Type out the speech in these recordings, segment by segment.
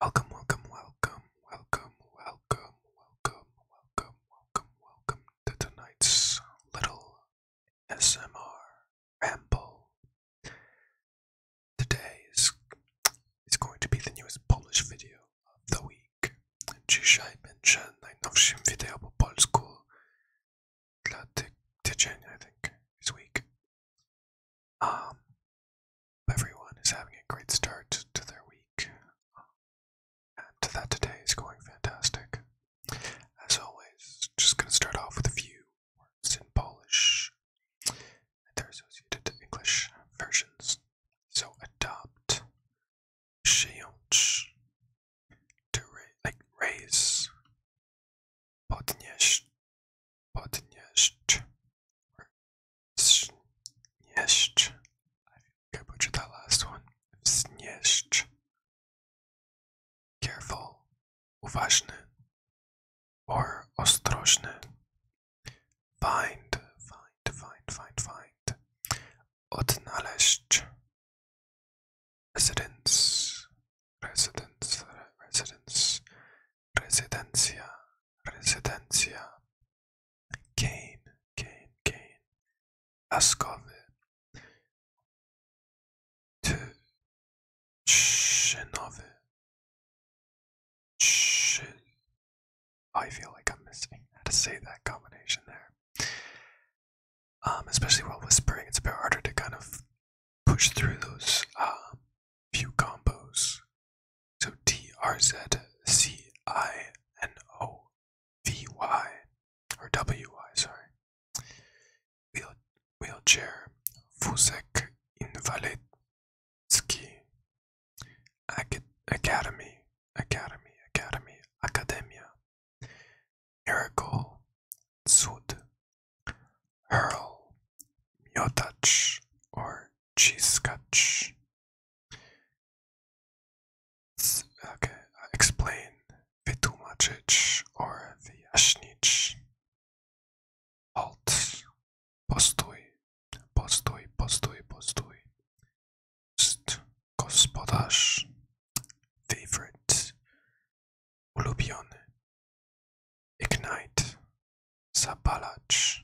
Welcome, welcome, welcome, welcome, welcome, welcome, welcome, welcome, welcome to tonight's little SMR ramble. Today is, is going to be the newest Polish video of the week. Dzisiaj będzie najnowszym wideo po polsku dla tygodnia, I think, this week. Um, everyone is having a great start to their week, um, and that today is going fantastic. As always, just going to start off with a few words in Polish. They're associated to English versions. So adopt, przyjąć, to raise, podnieść, podnieść, znieść. I think I last one. Znieść. Careful, uważne, or ostrożne, Find, find, find, find, find. Odnaleźć. Residence, residence, residence, residencia, residencia, Kane, Kane, Kane, Ascove, Tushinove, oh, I feel like I'm missing how to say that combination there. Um, especially while whispering, it's a bit harder to kind of push through those um, few combos. So T R Z C I N O V Y or W Y, sorry. Wheel, wheelchair, Fusek Invalidski Academy, Academy, Academy, Academia, Miracle, Sud, Hurl, Miotach, or Cheesecutch. Okay, explain Vytumačić or Vyjasnić. Halt, Postuj, Postuj, Postuj, Postuj. Gospodarz, Favorite, ulubiony. Ignite, zapalacz,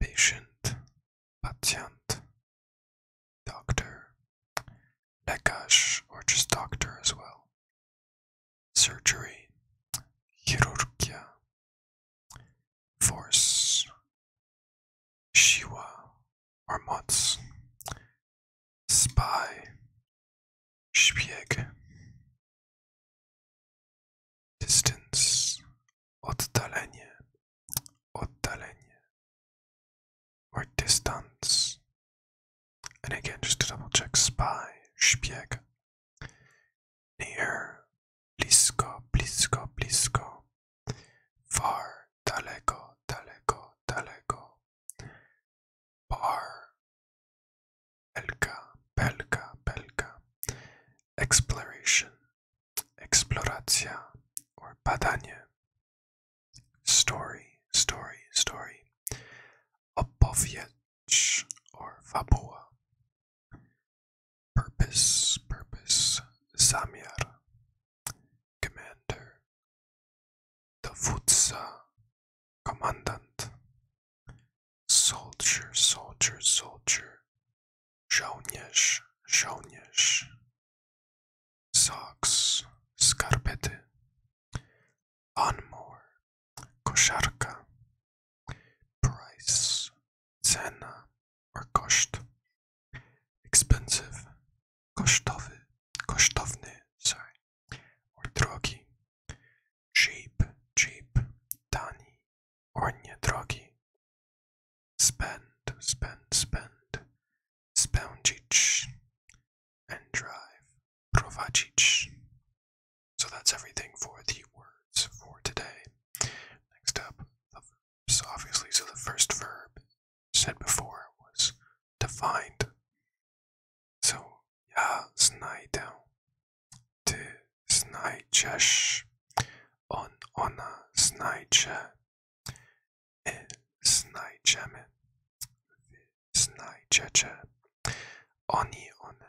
patient, patient, doctor, lekarz, or just doctor as well. Surgery, chirurgia, force, shiva, or moc, Spy. Szpieg. Distance. Oddalenie. Oddalenie. Or distance. And again, just to double check, spy. Szpieg. Near. Blisko, blisko, blisko. Far. Daleko, daleko, daleko. Bar. Belka, belka, belka. Exploration, exploracja, or badanie. Story, story, story. Opowiedź, or fabuła. Purpose, purpose. Zamiar. Commander, dowódca, komandant, soldier, soldier, soldier, żołnierz, żołnierz, socks, skarpety, lawnmower, koszarka, price, cena or koszt, expensive, kosztowy, kosztowny, sorry, or drogi, cheap, cheap, tani, or nie drogi, spend, spend, spend, spełdzić, and drive, prowadzić. So that's everything for the words for today. Next up, the obviously, so the first verb said before was defined. So ja znajdę, ty znajdziesz, on, ona znajdzie, my znajdziemy, wy znajdziecie, oni, one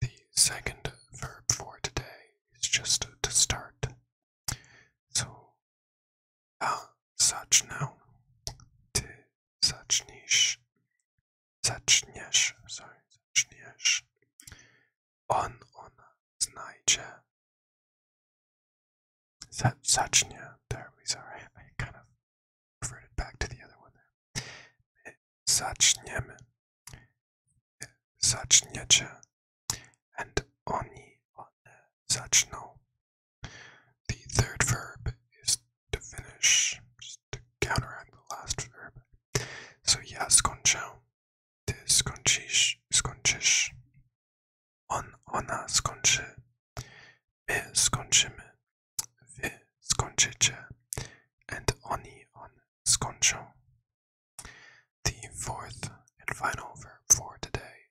The second verb for today is just to start to So, ja zacznę, ty zaczniesz, zaczniesz, sorry, zaczniesz, on, ona znajdzie, Z zacznie, teraz sorry, I kind of reverted back to the other one there. My zaczniemy, zaczniecie, and oni on such The third verb is to finish, just to counteract the last verb. So yes, skończę, ty skończysz, skończysz. On, ona skończy, my skończymy, wy skończycie, and oni, on skończą. The fourth and final verb for today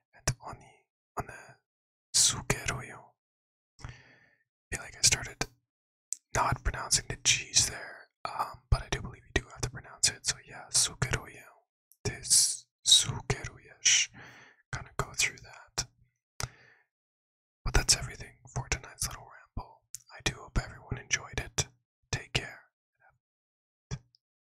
and oni on the sukeroyo. Feel like I started not pronouncing the G's there, um, but I do believe you do have to pronounce it. So yeah, sukeroyo. This sukeroyesh. Gonna go through that. But that's everything for tonight's little ramble. I do hope everyone enjoyed it. Take care.